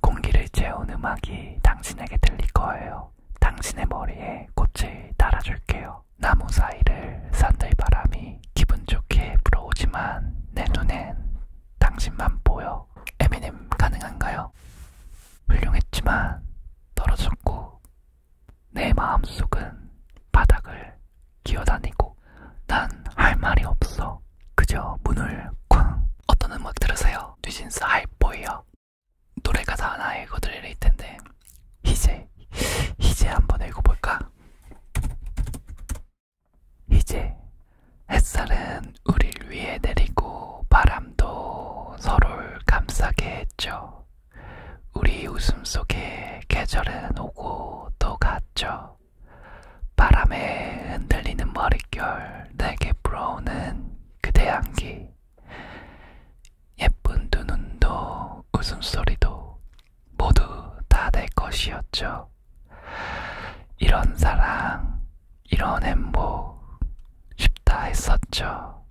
공기를 채운 음악이 당신에게 들릴 거예요. 당신의 머리에 꽃을 달아줄게요. 나무 사이를 산들바람이 기분 좋게 불어오지만 내 눈엔 당신만 보여. 에미넴 가능한가요? 훌륭했지만 떨어졌고 내 마음속은 바닥을 기어다니고 난 할 말이 없어. 있어요. 그저 문을 쾅. 어떤 음악 들으세요? 뉴진스 하이보이요. 노래가 다 하나 읽어드릴 텐데 이제 이제 한번 읽어볼까? 이제 햇살은 우릴 위해 내리고 바람도 서로를 감싸게 했죠. 우리 웃음 속에 계절은 오고 또 갔죠. 바람에 흔들리는 머릿결, 내게 불어오는 그대 향기, 예쁜 두 눈도 웃음소리도 모두 다 내 것이었죠. 이런 사랑, 이런 행복, 쉽다 했었죠.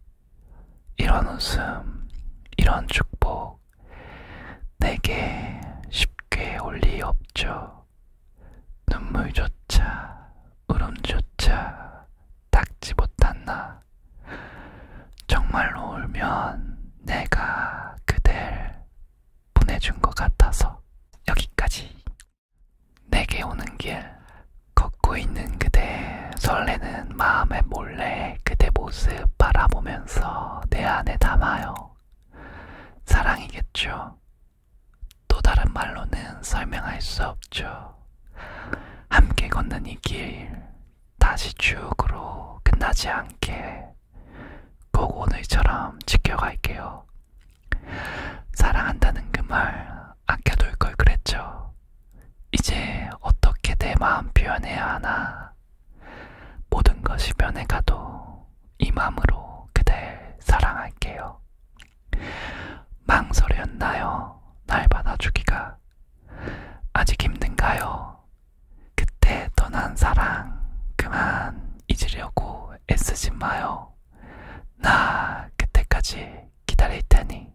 이런 웃음, 이런 축복, 내게 쉽게 올 리 없죠. 눈물조차 울음조차 닦지 못한 나 정말로 울면 내가 그댈 보내준 것 같아서 여기까지 내게 오는 길 걷고 있는 그대 설레는 마음에 몰래 그대 모습 바라보면서 내 안에 담아요 사랑이겠죠 또 다른 말로는 설명할 수 없죠. 함께 걷는 이 길, 다시 쭉으로 끝나지 않게 꼭 오늘처럼 지켜갈게요. 사랑한다는 그 말 아껴둘 걸 그랬죠. 이제 어떻게 내 마음 표현해야 하나. 모든 것이 변해가도 이 마음으로 그댈 사랑할게요. 망설였나요? 날 받아주기가 아직 힘든가요? 그때 떠난 사랑 그만 잊으려고 애쓰지 마요. 나 그때까지 기다릴 테니.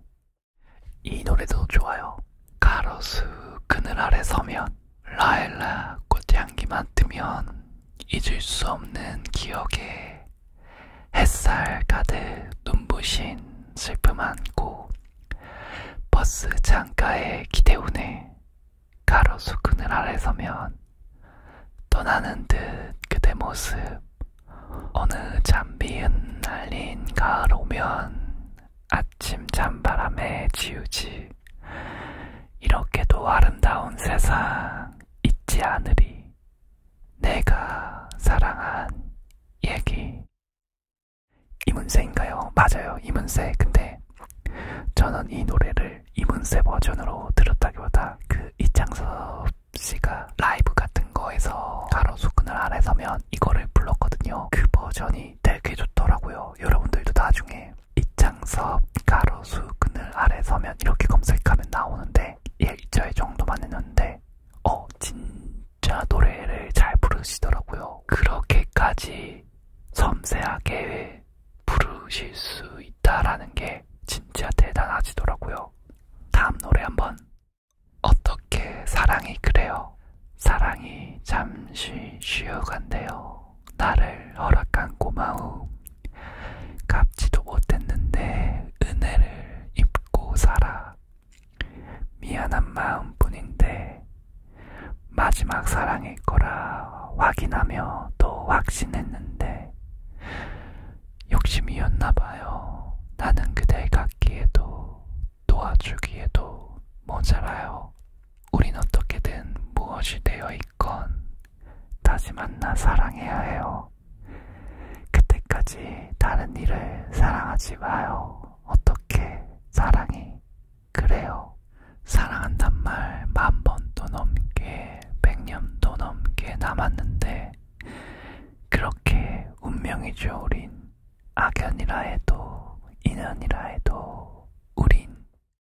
이 노래도 좋아요. 가로수 그늘 아래 서면 라일락 꽃향기 맡으면 잊을 수 없는 기억에 햇살 가득 눈부신 슬픔 안고 버스 창가에 기대우네 가로수 그늘 아래 서면 떠나는 듯 그대 모습 어느 잠비은 날린 가을 오면 아침 잔바람에 지우지 이렇게도 아름다운 세상 잊지 않으리. 내가 사랑한 얘기. 이문세인가요? 맞아요, 이문세. 근데 저는 이 노래를 이문세 버전으로 들었다기보다 그 이창섭 씨가 라이브 같은 거에서 가로수 그늘 아래 서면 이거를 불렀거든요. 그 버전이 되게 좋더라고요. 여러분들도 나중에 이창섭 가로수 그늘 아래 서면 이렇게 검색하면 나오는데 1절 예, 정도만 했는데 어 진짜 노래를 잘 부르시더라고요. 그렇게까지 섬세하게 부르실 수 있다라는 게 진짜 대단하시더라고요. 다음 노래 한번 어떻게 사랑이 그래요? 사랑이 잠시 쉬어간대요. 나를 허락한 고마움 갚지도 못했는데 은혜를 입고 살아. 미안한 마음뿐인데 마지막 사랑일 거라 확인하며 또 확신했는데 욕심이었나 봐요. 나는 그댈 갖기에도 도와주기에도 모자라요. 우린 어떻게든 무엇이 되어 있건 다시 만나 사랑해야 해요. 그때까지 다른 일을 사랑하지 마요. 어떻게 사랑이 그래요? 사랑한단 말 만 번도 넘게, 백 년도 넘게 남았는데, 그렇게 운명이죠, 우린. 악연이라 해도, 인연이라 해도, 우린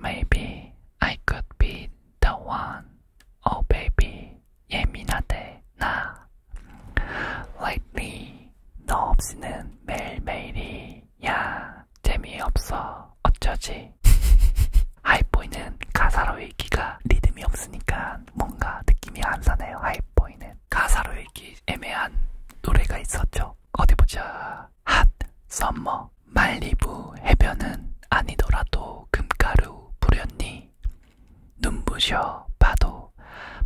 Maybe I could be the one. Oh baby, 예민하대 나. Lately, 너 없이는 매일매일이야. 재미없어. 어쩌지? 하이보이는 가사로 읽기가 리듬이 없으니까 뭔가 느낌이 안 사네요. 하이보이는 가사로 읽기 애매한 노래가 있었죠. 어디 보자. 핫 썸머 말리부 해변은 아니더라도 금가루 부렸니 눈부셔 봐도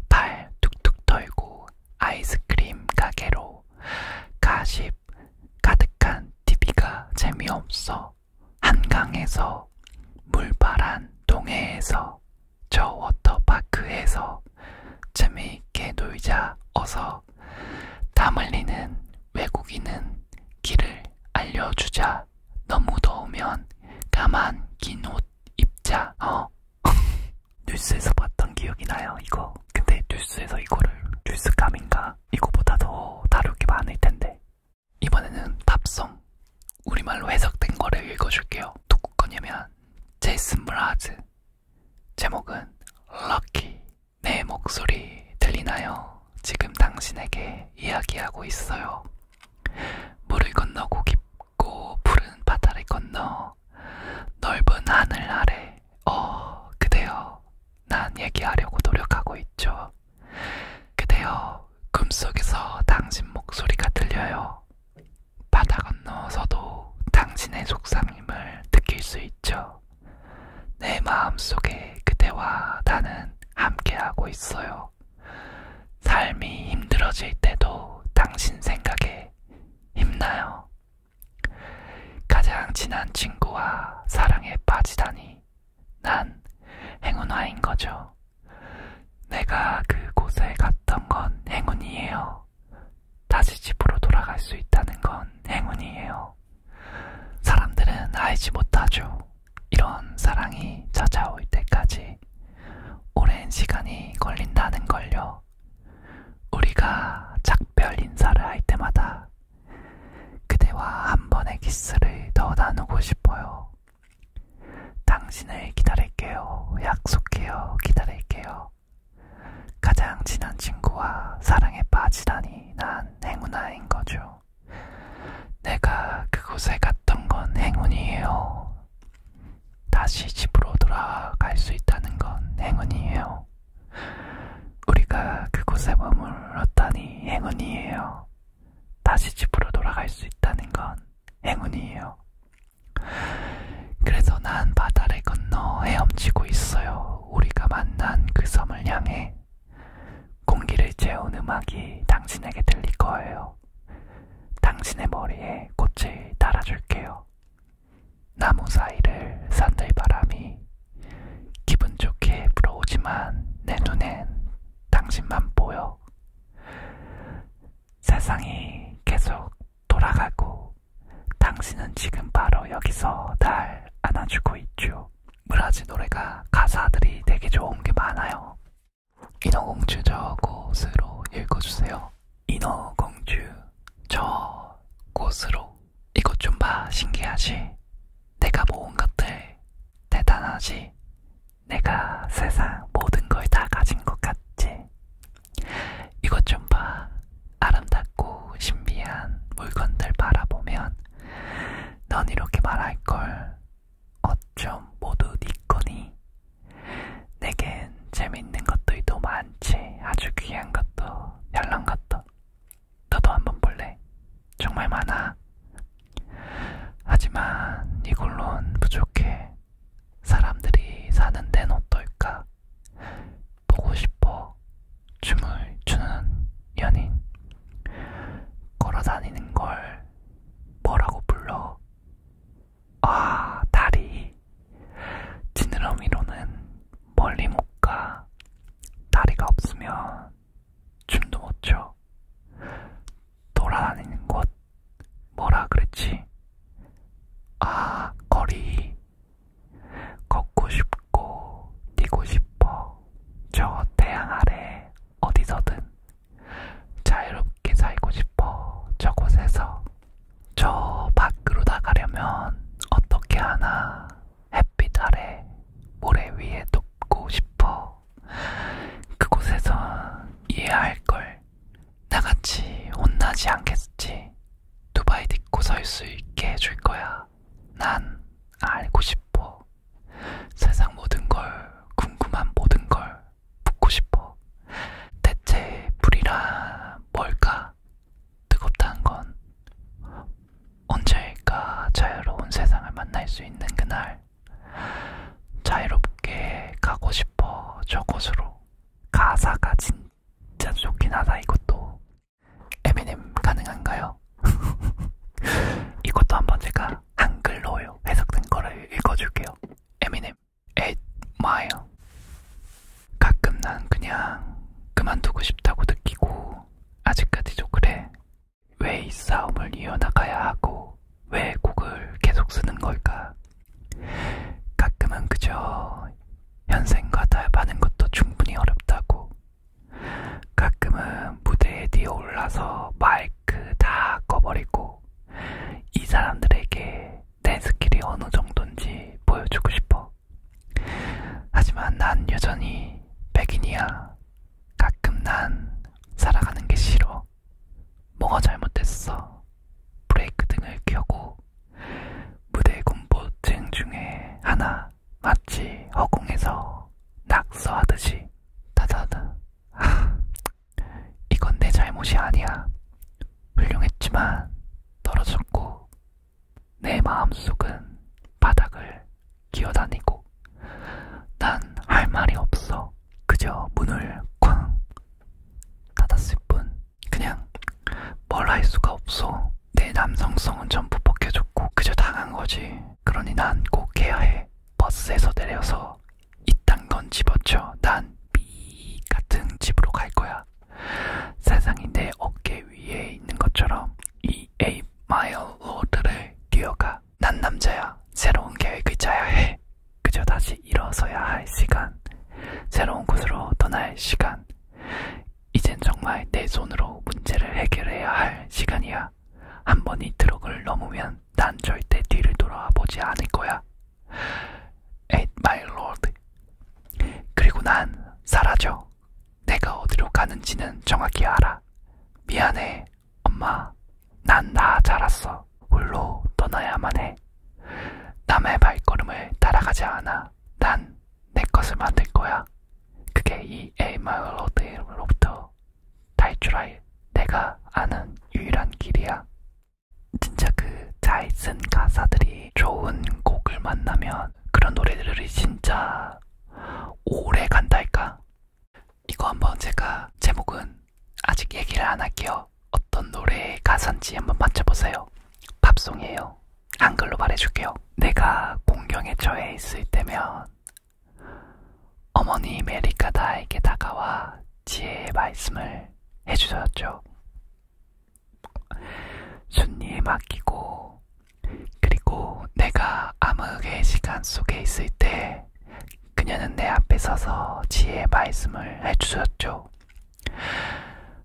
발 툭툭 털고 아이스크림 가게로 가십 가득한 TV가 재미없어 한강에서 물바란 동해에서 저 워터파크에서 재미있게 놀자 어서 위해서 땀 흘리는 외국인은 길을 알려주자. 너무 더우면 가만 긴 옷 입자. 어? 뉴스에서 봤던 기억이 나요, 이거. 근데 뉴스에서 이거를 뉴스감인가? 이거보다 더 다룰 게 많을 텐데. 이번에는 팝송. 우리말로 해석된 거를 읽어줄게요. 누구 거냐면 제이슨 브라즈. 제목은 Lucky. 내 목소리 들리나요? 지금 당신에게 이야기하고 있어요. 물을 건너고 깊고 푸른 바다를 건너 넓은 하늘 아래 어 그대여 난 얘기하려고 노력하고 있죠. 그대여 꿈속에서 당신 목소리가 들려요. 바다 건너서도 당신의 속상임을 느낄 수 있죠. 내 마음속에 그대와 나는 함께하고 있어요. 삶이 힘들어질 때도 당신 생각에 힘나요. 가장 친한 친구와 사랑에 빠지다니 난 행운아인 거죠. 내가 그곳에 갔던 건 행운이에요. 다시 집으로 돌아갈 수 있다는 건 행운이에요. 사람들은 알지 못하죠. 이런 사랑이 찾아올 때까지 오랜 시간이 걸린다는 걸요. 우리가 작별 인사를 할 때마다 그대와 한 번의 키스를 더 나누고 싶어요. 당신을 기다릴게요. 약속해요. 기다릴게요. 가장 친한 친구와 사랑에 빠지다니 난 행운아인 거죠. 내가 그곳에 갔던 건 행운이에요. 다시 집으로 돌아갈 수 있다는 건 행운이에요. 우리가 그곳에 머물렀다니 행운이에요. 다시 집으로 돌아갈 수 있다는 건 행운이에요. 그래서 난 바다를 건너 헤엄치고 있어요. 우리가 만난 그 섬을 향해 공기를 채운 음악이 당신에게 들릴 거예요. 당신의 머리에 꽃을 달아줄게요. 나무 사이를 산들 바람이 기분 좋게 불어오지만 내 눈엔 당신만 보여. 세상이 계속 돌아가고 당신은 지금 바로 여기서 날 안아주고 있죠. 브라질 노래가 가사들이 되게 좋은 게 많아요. 인어공주 저 곳으로 읽어주세요. 인어공주 저 곳으로 이것 좀봐 신기하지? 내가 모은 것들 대단하지? 내가 세상 모든 걸 다 가진 것 같지? 이것 좀봐 아름답고 신비한 물건들 바라보면 넌 이렇게 말할걸. 어쩜 모두 네 거니? 내겐 재밌는 것들도 많지. 아주 귀한 것도, 얄란 것도. 너도 한번 볼래? 정말 많아. 하지만 이걸론 부족해. 사람들이 사는 데는 어떨까? 보고 싶어 춤을 추는 연인 걸어다니는 걸 뭐라고 불러? 아 다리 지느러미로는 멀리 못 가 다리가 없으면 춤도 못춰 돌아다니는 곳 뭐라 그랬지? 아 거리 걷고 싶고 뛰고 싶어 저 태양 아래 어디서든 자유롭게 살고 싶어 저곳에서 저 밖으로 나가려면 어떻게 하나 햇빛 아래 모래 위에 눕고 싶어 그곳에선 이해할걸 나같이 혼나지 않겠지 두바이 딛고 설 수 있게 해줄 거야. 난 알고 싶어. 세상 모든 걸, 궁금한 모든 걸 묻고 싶어. 대체 불이란 뭘까? 뜨겁다는 건 언제일까 자유로운 세상을 만날 수 있는 그날. 자유롭게 가고 싶어 저곳으로 가사가 진짜 좋긴 하다 이것도 M&M 가능한가요? 이것도 한번 제가 한글로 해석된 거를 읽어줄게요. M&M admire 가끔 난 그냥 그만두고 싶다고 느끼고 아직까지도 그래. 왜 이 싸움을 이어나가야 하고 왜 곡을 계속 쓰는 걸까? 가끔은 그저 현생과 타협하는 것도 충분히 어렵다고. 가끔은 무대에 뛰어 올라서 마이크 다 꺼버리고 이 사람들에게 내 스킬이 어느 정도인지 보여주고 싶어. 하지만 난 여전히 백인이야. 가끔 난 살아가는 게 싫어. 뭐가 잘못됐어? 브레이크 등을 켜고 무대 공포증 중에 하나 마치 허공에서 낙서하듯이 다다다 하, 이건 내 잘못이 아니야 훌륭했지만 떨어졌고 내 마음속은 바닥을 기어다니고 난 할 말이 없어 그저 문을 쾅 닫았을 뿐 그냥 뭘 할 수가 없어. 내 남성성은 전부 벗겨졌고 그저 당한 거지. 그러니 난 꼭 해야 해. 버스에서 내려서 이딴 건 집어쳐. 난 미 같은 집으로 갈 거야. 세상이 내 어깨 위에 있는 것처럼 이 8마일 로드를 뛰어가. 난 남자야. 새로운 계획을 짜야 해. 그저 다시 일어서야 할 시간. 새로운 곳으로 떠날 시간. 이젠 정말 내 손으로 문제를 해결해야 할 시간이야. 한 번 이 트럭을 넘으면 난 절대 뒤를 돌아보지 않을 거야. At my lord. 그리고 난 사라져. 내가 어디로 가는지는 정확히 알아. 미안해, 엄마. 난다 자랐어. 홀로 떠나야만 해. 남의 발걸음을 따라가지 않아. 난내 것을 만들 거야. 그게 이 에이마을로드로부터 탈출할 내가 아는 유일한 길이야. 진짜 그 잘 쓴 가사들이 좋은 곡을 만나면 그런 노래들이 진짜 오래 간달까? 이거 한번 제가 제목은 아직 얘기를 안 할게요. 어떤 노래의 가사인지 한번 맞춰보세요. 팝송이에요. 한글로 말해줄게요. 내가 공경에 처해 있을 때면 어머니 메리카 다에게 다가와 지혜의 말씀을 해주셨죠. 순리에 맡기고 그리고 내가 암흑의 시간 속에 있을 때 그녀는 내 앞에 서서 지혜의 말씀을 해주셨죠.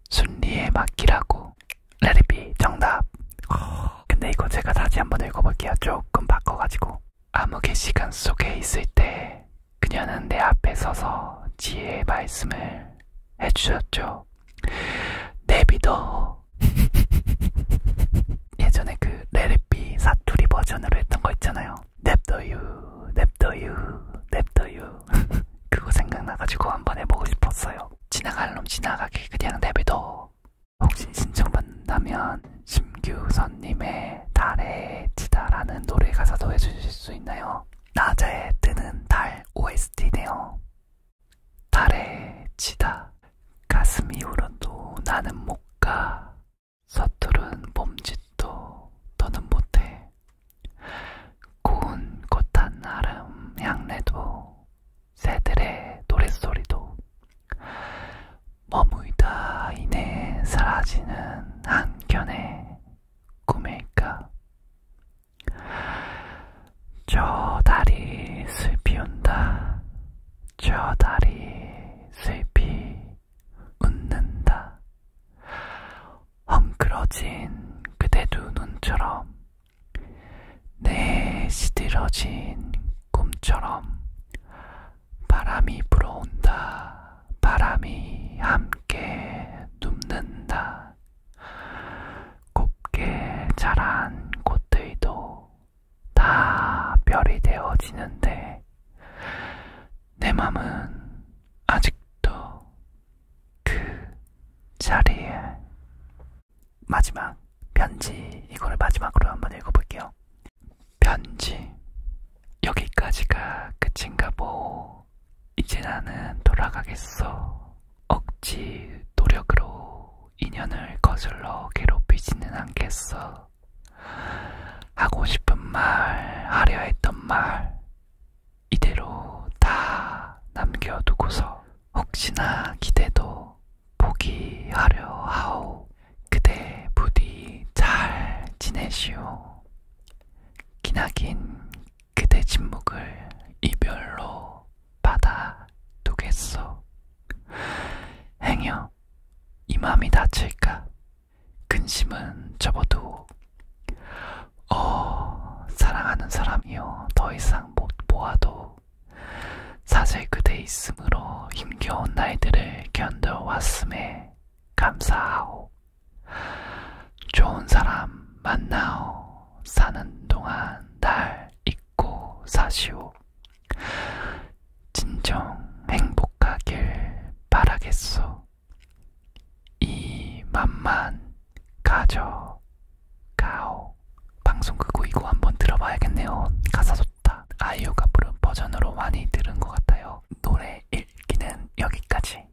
순리에 맡기라고 레리비 정답 근데 이거 제가 다시 한번 읽어볼게요 조금 바꿔가지고 암흑의 시간 속에 있을 때 그녀는 내 앞에 서서 지혜의 말씀을 해주셨죠 내비도 예전에 그 레리비 사투리 버전으로 했던 거 있잖아요 냅둬유 냅둬유 냅둬유 그거 생각나가지고 한 번 해보고 싶었어요. 지나갈 놈 지나가게 그냥 내비둬. 혹시 신청받는다면 심규선님의 달에 지다라는 노래 가사도 해주실 수 있나요? 낮에 뜨는 달 OST네요. 달에 지다 가슴이 울어도 나는 못가 서투른 몸짓도 더는 못해 고운 겉한 아름 향내도 새들의 노랫소리도 머무이다 이내 사라지는 한켠의 꿈일까 저 달이 슬피 온다 저 달이 슬피 웃는다 헝클어진 그대 두 눈처럼 내 시들어진 꿈처럼 바람이 불어온다 바람이 함께 눕는다 곱게 자란 꽃들도 다 별이 되어지는데 내 맘은 아직도 그 자리에 마지막 편지 이거를 마지막으로 한번 읽어볼게요. 편지 여기까지가 끝인가 보. 이제 나는 돌아가겠어. 억지 노력으로 인연을 거슬러 괴롭히지는 않겠어. 하고 싶은 말, 하려 했던 말, 이대로 다 남겨두고서 혹시나 기대도 포기하려 하오. 그대 부디 잘 지내시오. 기나긴 그대 침묵을 이별로 받아두겠소. 행여 이 맘이 다칠까? 근심은 접어두고 어, 사랑하는 사람이여 더 이상 못 보아도 사실 그대 있음으로 힘겨운 날들을 견뎌왔음에 감사하오. 좋은 사람 만나오. 사는 동안 날 잊고 사시오. 진정 행복하길 바라겠소. 이 맘만 가져가오 방송 끄고 이거 한번 들어봐야겠네요. 가사 좋다. 아이유가 부른 버전으로 많이 들은 것 같아요. 노래 읽기는 여기까지.